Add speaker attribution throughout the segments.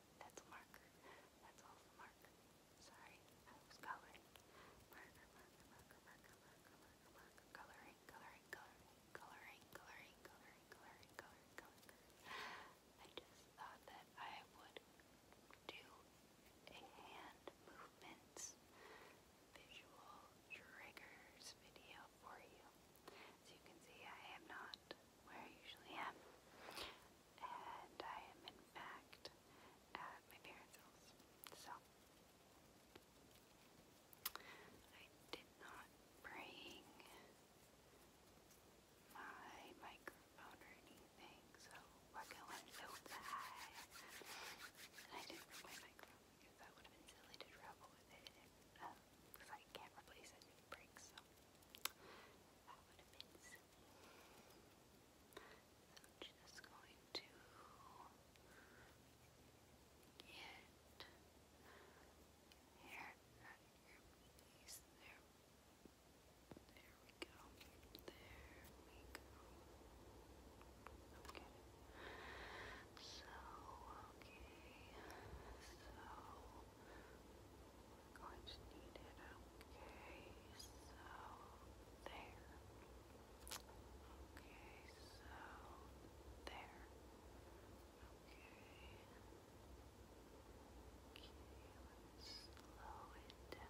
Speaker 1: Oh, that's marker. That's also marker. Sorry, I was coloring. Marker, marker, marker, marker, marker, marker, coloring, coloring, coloring, coloring, coloring, coloring, coloring, coloring. I just thought that I would do a hand movements, visual triggers video out for you. As you can see, I am not where I usually am. And I am, in fact, at my parents' house. So, I did not bring my microphone or anything, so we're going so bad. And I didn't bring my microphone because that would have been silly to travel with it it because I can't replace it if it breaks, that would have been So i going to get hair out of your piece there. There we go. There we go. Okay. So, we're going to need it. Okay, so there. Okay, so there. Okay. Okay, slow it down a bit. slow it down.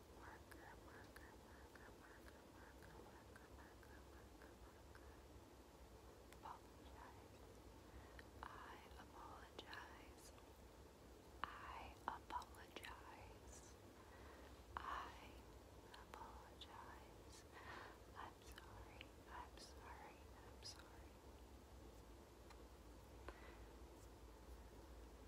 Speaker 2: I apologize. I
Speaker 1: apologize. I apologize. I'm sorry. I'm sorry. I'm sorry.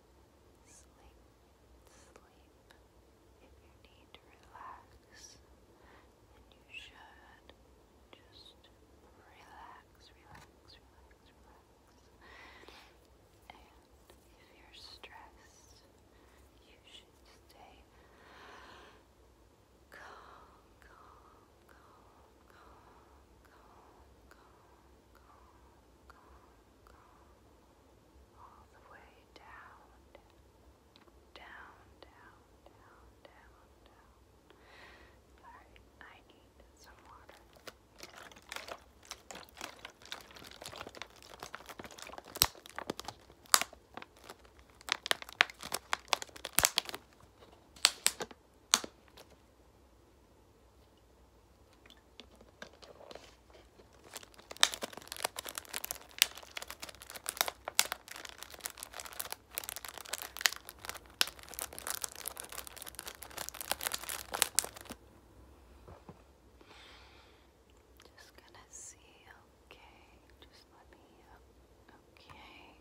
Speaker 1: Sleep, sleep. If you need to relax, then you should just relax, relax, relax, relax. And if you're stressed, you should stay calm, calm, calm, calm, calm calm, calm, all the way down, down, down, down, down, down. Alright, I need some water. Just gonna see, okay, just let me, okay.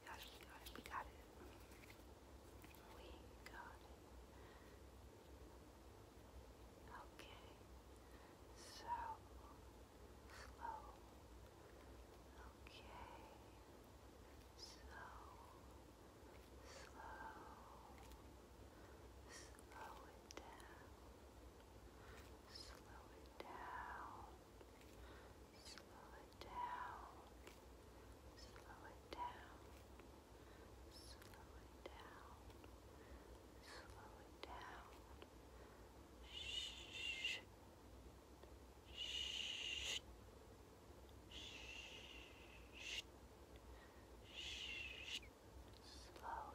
Speaker 1: we got it, we got it, we got it. Okay. So slow. Okay. So slow. Slow it down. Slow it down slow it down, slow it down, slow it down, slow it down. Shh. Shh. Shh. Shh. Slow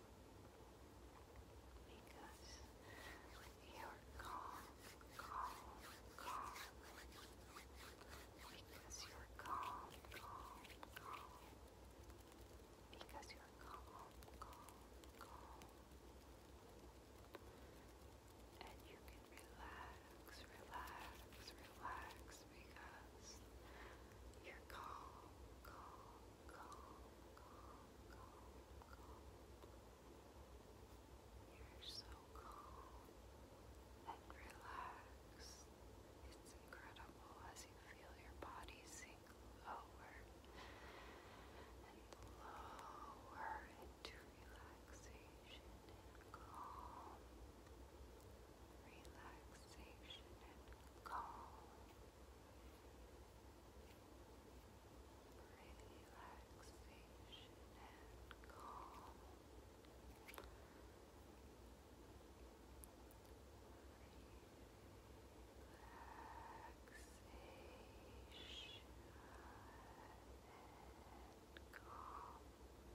Speaker 1: because you're calm, calm, calm, because you're calm, calm, calm, because you're calm, calm, calm, and you can relax, relax, relax, because you're calm, calm, calm, calm, calm, You're so calm and relaxed. It's incredible as you feel your body sink lower and lower into relaxation and calm relaxation and calm. Relaxation and calm. Relaxation and calm.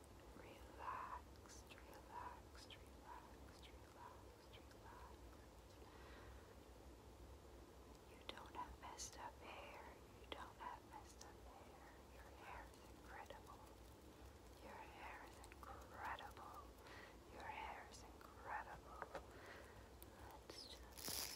Speaker 1: relaxed,
Speaker 2: relaxed, relaxed, relaxed, relaxed. You don't have messed up hair. You don't have messed up hair. Your hair is incredible. Your hair is incredible. Your hair is incredible. Let's just.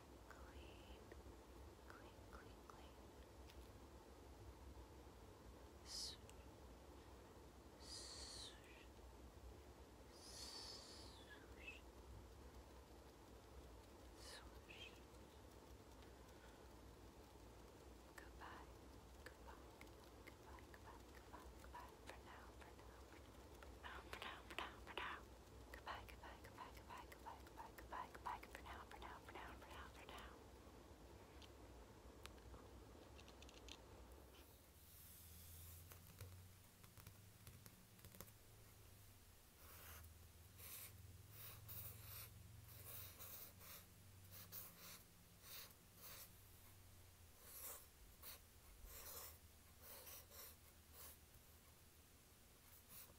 Speaker 1: clean, clean, clean, clean. Swoosh, swoosh,
Speaker 2: swoosh, swoosh. Goodbye, goodbye, goodbye, goodbye, goodbye, goodbye. for now, for now, for now, for now. For now. Goodbye, goodbye, goodbye, goodbye, goodbye, goodbye, goodbye, goodbye, for now, for now, for now, for now, for now.